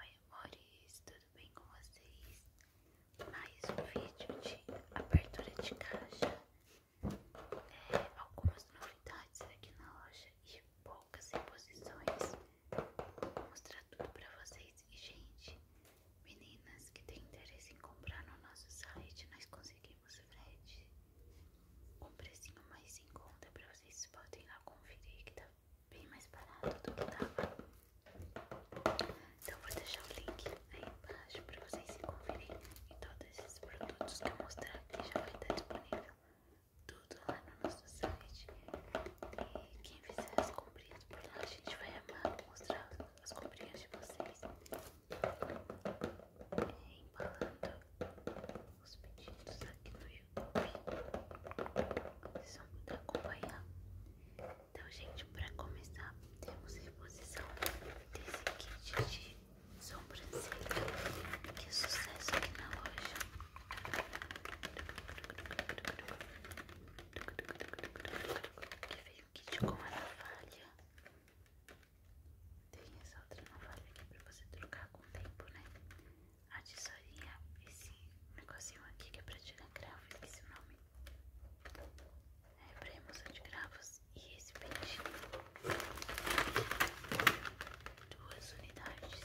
Oi amores, tudo bem com vocês? Mais um vídeo de abertura de caixa é, Algumas novidades aqui na loja e poucas reposições Vou mostrar tudo para vocês E gente, meninas que têm interesse em comprar no nosso site Nós conseguimos frete um precinho mais em conta para vocês. Vocês podem lá conferir que tá bem mais barato do que tava. Então vou deixar o link aí embaixo pra vocês se conferirem e todos esses produtos que eu mostrei aqui já vai estar disponível tudo lá no nosso site. E quem fizer as comprinhas por lá, a gente vai amar mostrar as comprinhas de vocês. E embalando os pedidos aqui no YouTube. Vocês vão poder acompanhar. Então, gente, para começar, temos reposição desse kit de sobrancelha. Que é sucesso aqui na loja! Que veio um kit com a navalha. Tem essa outra navalha aqui pra você trocar com o tempo, né? A tesourinha, esse negocinho aqui que é pra tirar cravo, esse é o nome. É pra remoção de cravos. E esse peitinho. Duas unidades.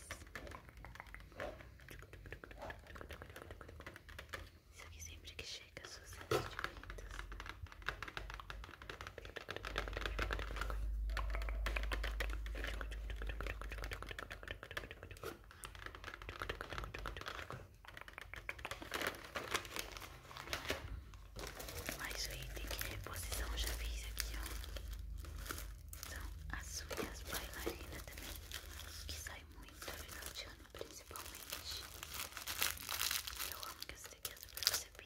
Isso aqui sempre que chega, sucesso de vendas mas o item de reposição já fiz aqui, ó. São as unhas bailarinas também, que sai muito no final de ano, principalmente. Eu amo que essa daqui é super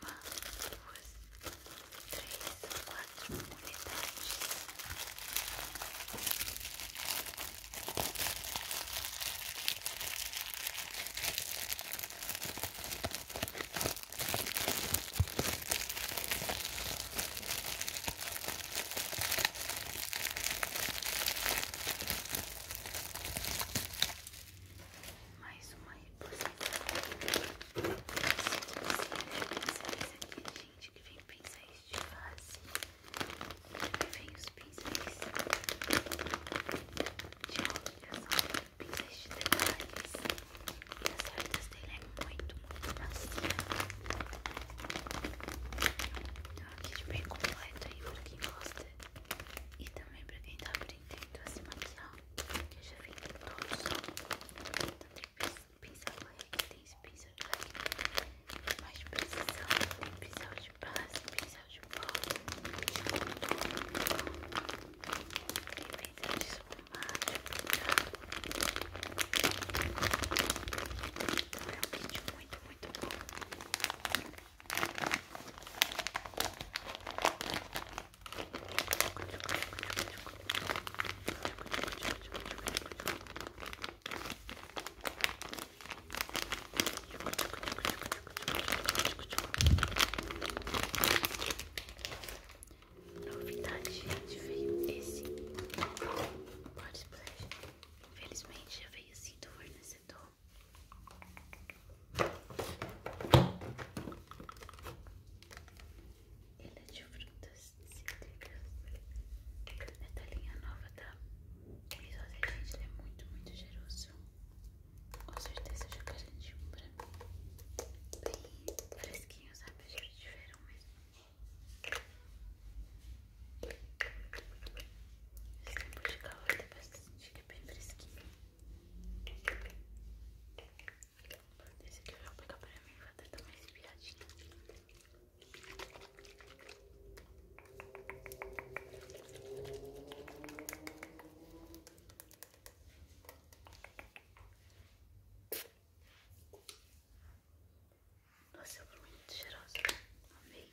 uma, duas, três, quatro unidades. Vou mais uma reposição. aqui, gente, que vem pincéis de base. Vem os pincéis de óleo, pincéis de detalhes. E as cerdas dele é muito, muito macia. Então, aqui de bem completo aí pra e também pra quem tá aprendendo a se maquiar. Eu já vi todos. Também pincel corrente, tem esse pincel de corrente mais de precisão, tem pincel de base, pincel de pó, de pincel de esfumar, Então é um muito Novidade, gente, veio esse Body Infelizmente já veio assim do fornecedor. Ele é de frutas cítricas. É da linha nova da Isosa. Gente, ele é muito, muito cheiroso. Com certeza eu já garanti um pra mim. Bem fresquinho, sabe? Já de verão mesmo. Esse tempo de calor dá pra sentir que é bem fresquinho. Esse aqui eu vou pegar pra mim, vou até dar uma espiadinha. Nossa, é muito cheirosa. Amei.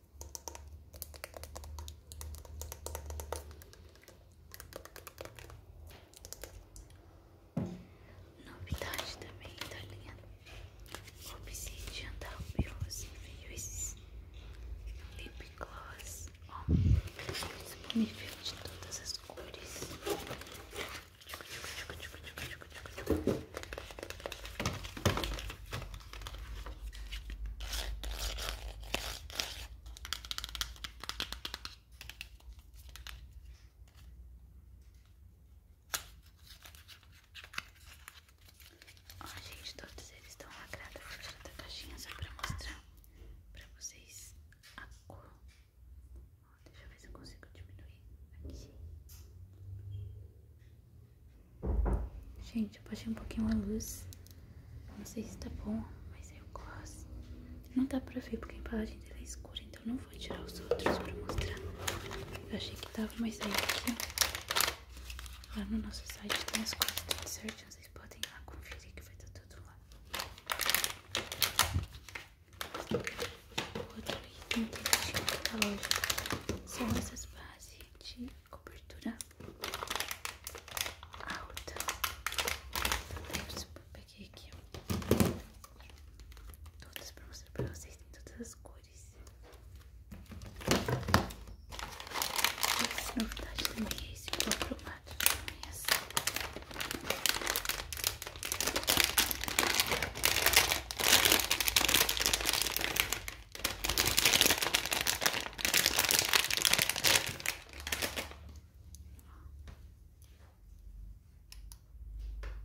Novidade também tá linha Obsidian da Bios Infuse Lip Gloss, ó, disponível de todas as cores. Ó, gente, todos eles estão lacrados. Vou tirar da caixinha só pra mostrar pra vocês a cor. Ó, deixa eu ver se eu consigo diminuir aqui. Gente, eu baixei um pouquinho a luz. Não sei se tá bom, mas eu gosto. Não dá pra ver porque a embalagem dela é escura, então não vou tirar os outros pra mostrar. Eu achei que tava, mas aí aqui, Lá no nosso site tem as coisas tudo certinho. Vocês podem ir lá conferir que vai estar tá tudo lá. O outro item que a gente da loja são essas bases de cobertura alta. Então, eu peguei aqui todas para mostrar para vocês, tem todas as cores. Essa novidade também é esse cromado também é assim.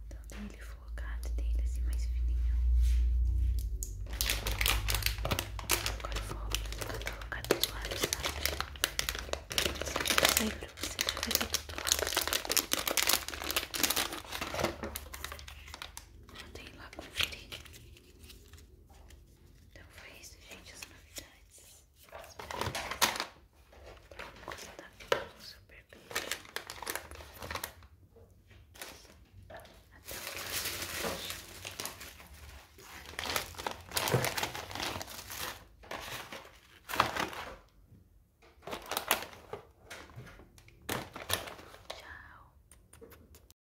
Então tem focado, tem ele assim mais fininho. Agora eu vou colocar dos lados, sabe? Aí pra você fazer tudo lá. Vou ter lá conferir. Tá então foi isso, gente, as novidades. Espero que tenham gostado. Um super bem Até o próximo vídeo. Tchau.